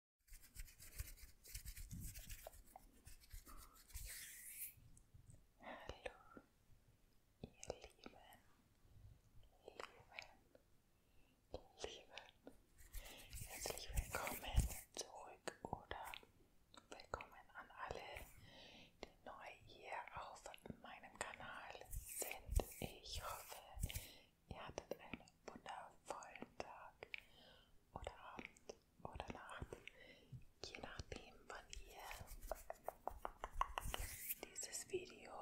Hallo, ihr Lieben, Lieben, Lieben. Herzlich willkommen zurück oder willkommen an alle, die neu hier auf meinem Kanal sind. Ich hoffe, Ihr hattet einen wundervollen Tag oder Abend oder Nacht, je nachdem, wann ihr dieses Video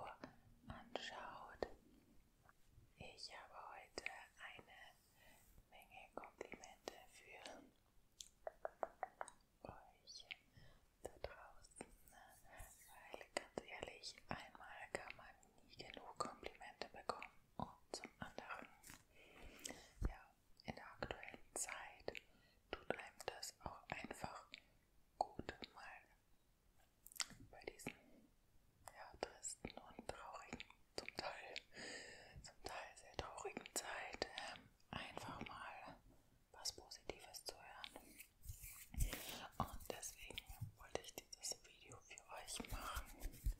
anschaut. Ich habe heute eine Menge Komplimente für euch da draußen, weil ganz ehrlich, einmal kann man nie genug Komplimente bekommen. Und zum anderen, ja, in der aktuellen Zeit tut einem das auch einfach gut, mal bei diesen ja, tristen und traurigen, zum Teil, zum Teil sehr traurigen Zeit, ähm, einfach mal was Positives zu hören. Und deswegen wollte ich dieses Video für euch machen.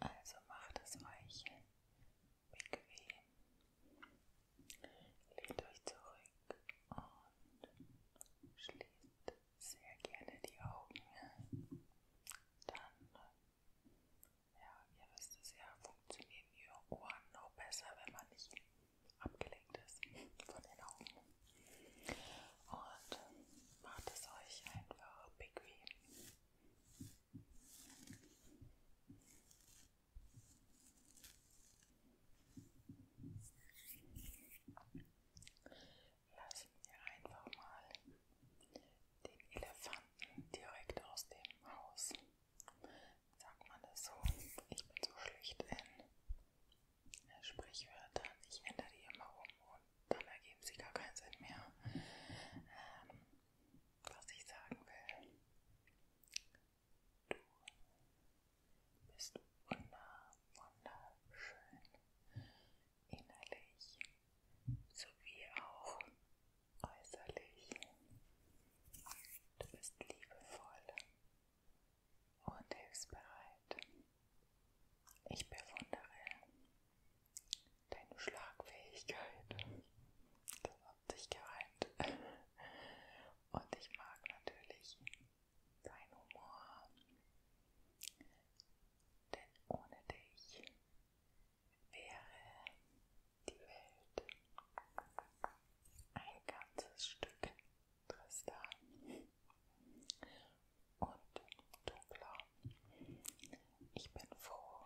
Also macht es euch bequem. Lehnt euch zurück und schließt sehr gerne die Augen. Dann, ja, ihr wisst es ja, funktionieren die Ohren noch besser, wenn man nicht abgelenkt ist von den Augen und macht es euch einfach bequem. Lassen wir einfach mal den Elefanten direkt aus dem Haus. Sagt man das so? Ich bin so schlecht in Sprichwörtern. Ich ändere die immer um und dann ergeben sie gar keinen Sinn mehr. Ähm, was ich sagen will. Du bist wunder, wunderschön. Innerlich sowie auch äußerlich. Du bist liebevoll und hilfsbereit. Ich bewundere deine Schlagfähigkeit. Das hat sich gereimt. Und ich mag natürlich deinen Humor. Denn ohne dich wäre die Welt ein ganzes Stück Tristan und Tobler. Ich bin froh,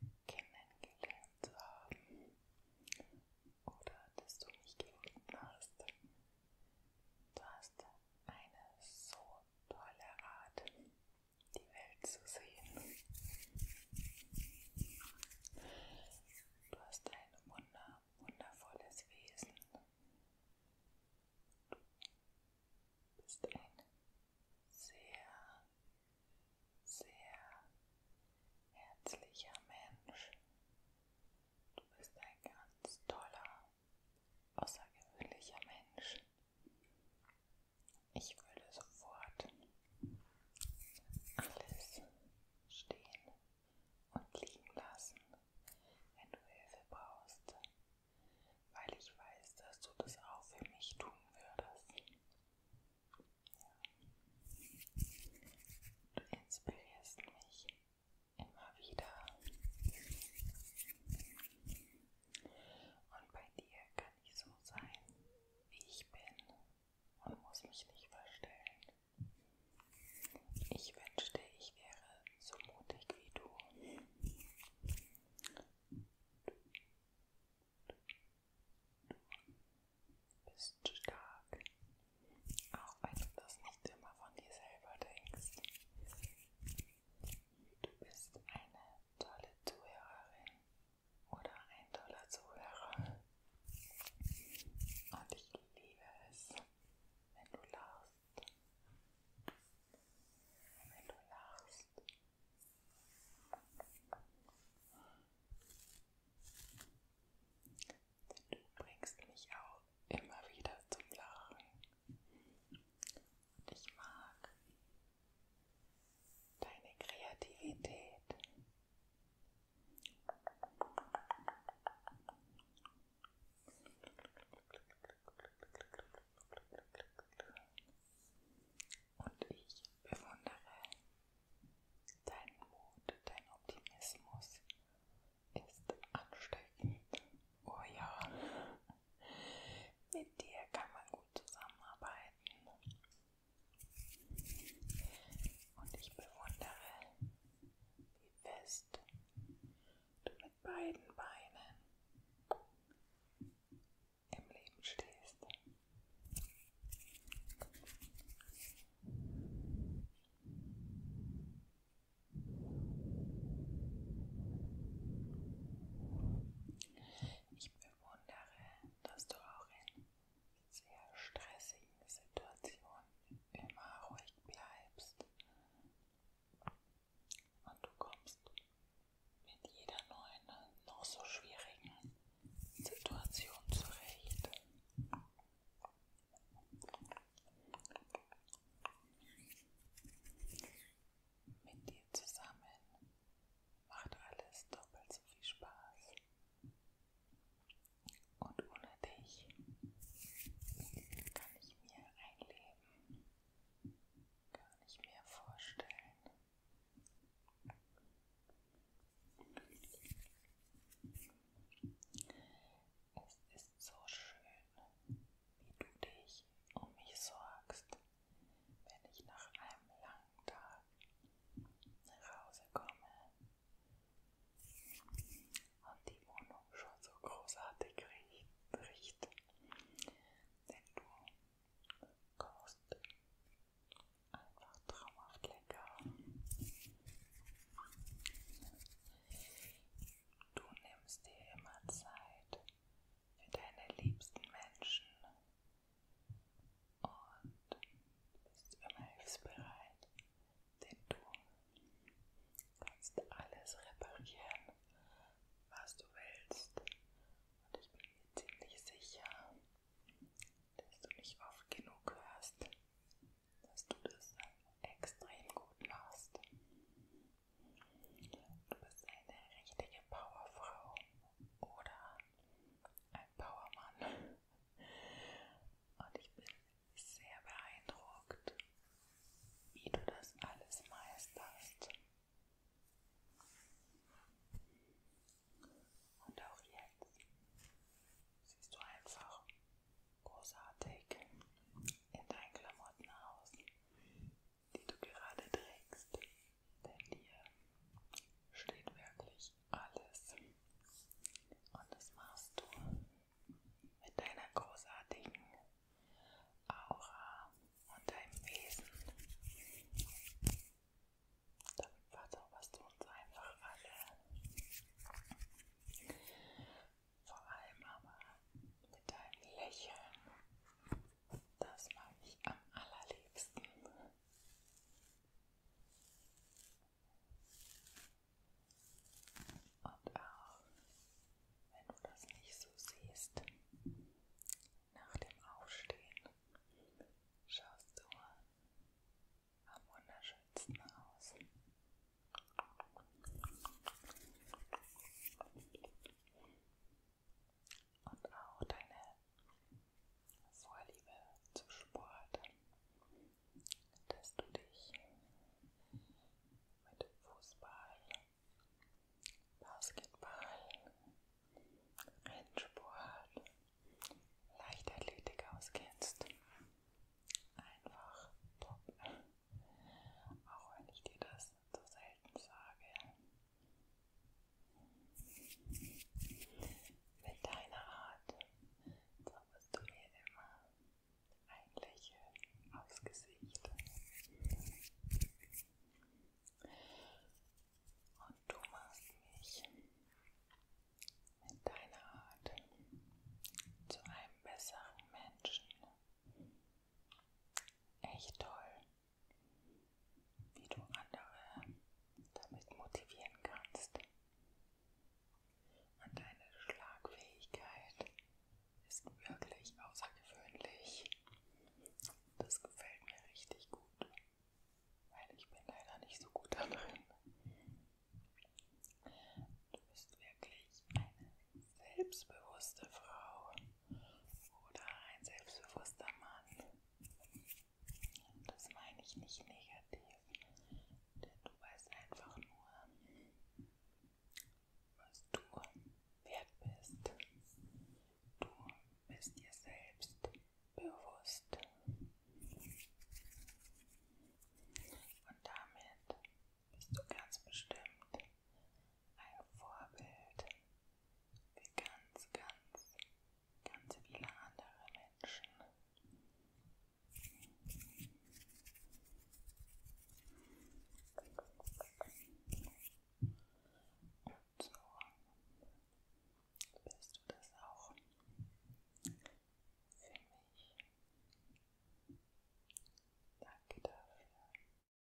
dich kennengelernt zu haben oder dass du mich gefunden hast. Du hast eine so tolle Art, die Welt zu sehen. Du hast ein wunder, wundervolles Wesen. Du bist ein sehr, sehr herzlicher Mensch. Du bist ein ganz toller, außergewöhnlicher Mensch. Ich würde sofort alles stehen und liegen lassen, wenn du Hilfe brauchst, weil ich weiß, dass du das auch für mich tun würdest. Du inspirierst mich immer wieder. Und bei dir kann ich so sein, wie ich bin und muss mich nicht verstellen. Ich wünschte, ich wäre so mutig wie du. Du bist stark, auch wenn du das nicht immer von dir selber denkst. Du bist eine tolle Zuhörerin oder ein toller Zuhörer. Und ich liebe es, wenn du lachst. Wenn du lachst. Denn du bringst mich auch immer wieder zum Lachen. Und ich mag, deine Kreativität. Und ich bewundere deinen Mut, dein Optimismus ist ansteckend. Oh ja, mit dir kann man gut zusammenarbeiten. Und ich bewundere, wie fest du mit beiden Beinen im Leben stehst. Ich bewundere, dass du auch in sehr stressigen Situationen immer ruhig bleibst und du kommst mit jeder neuen, noch so schwierigen Situation zurecht. Mit dir zusammen macht alles doppelt so viel Spaß. Und ohne dich kann ich mir ein Leben gar nicht mehr vorstellen. Es ist so schön, wie du dich um mich sorgst wenn ich nach einem langen Tag nach Hause komme und die Wohnung schon so großartig riecht, denn du kochst einfach traumhaft lecker. Du nimmst dir immer Zeit für deine liebsten Menschen, und bist immer hilfsbereit, denn du kannst alles reparieren, was du willst. Und ich bin mir ziemlich sicher, dass du nicht oft genug hörst, dass du das extrem gut machst. Du bist eine richtige Powerfrau oder ein Powermann. Und ich bin sehr beeindruckt, wie du das alles meisterst. Und auch jetzt siehst du einfach großartig in deinen Klamotten aus die du gerade trägst, denn hier steht wirklich alles. Und das machst du mit deiner großartigen Aura und deinem Wesen. Damit verzauberst du uns einfach alle. Vor allem aber mit deinem Lächeln. Das mag ich am allerliebsten. Und auch, wenn du das nicht so siehst, nach dem Aufstehen schaust du am wunderschönsten aus und auch deine Vorliebe zum Sport, dass du dich mit Fußball, Basketball, Rennsport, Leichtathletik auskennst. Einfach top. Auch wenn ich dir das so selten sage, mit deiner Art zauberst du mir immer ein Lächeln aufs Gesicht. Und du machst mich mit deiner Art zu einem besseren Menschen. Echt toll wie du andere damit motivieren kannst. Und deine Schlagfähigkeit ist wirklich außergewöhnlich. Das gefällt mir richtig gut, weil ich bin leider nicht so gut darin. Du bist wirklich eine selbstbewusste Frau oder ein selbstbewusster Mann. Und das meine ich nicht negativ, denn du weißt einfach nur, was du wert bist. Du bist dir selbst bewusst. Und damit bist du ganz bestimmt ein Vorbild für ganz, ganz, ganz viele andere Menschen. Und so bist du das auch für mich. Danke dafür.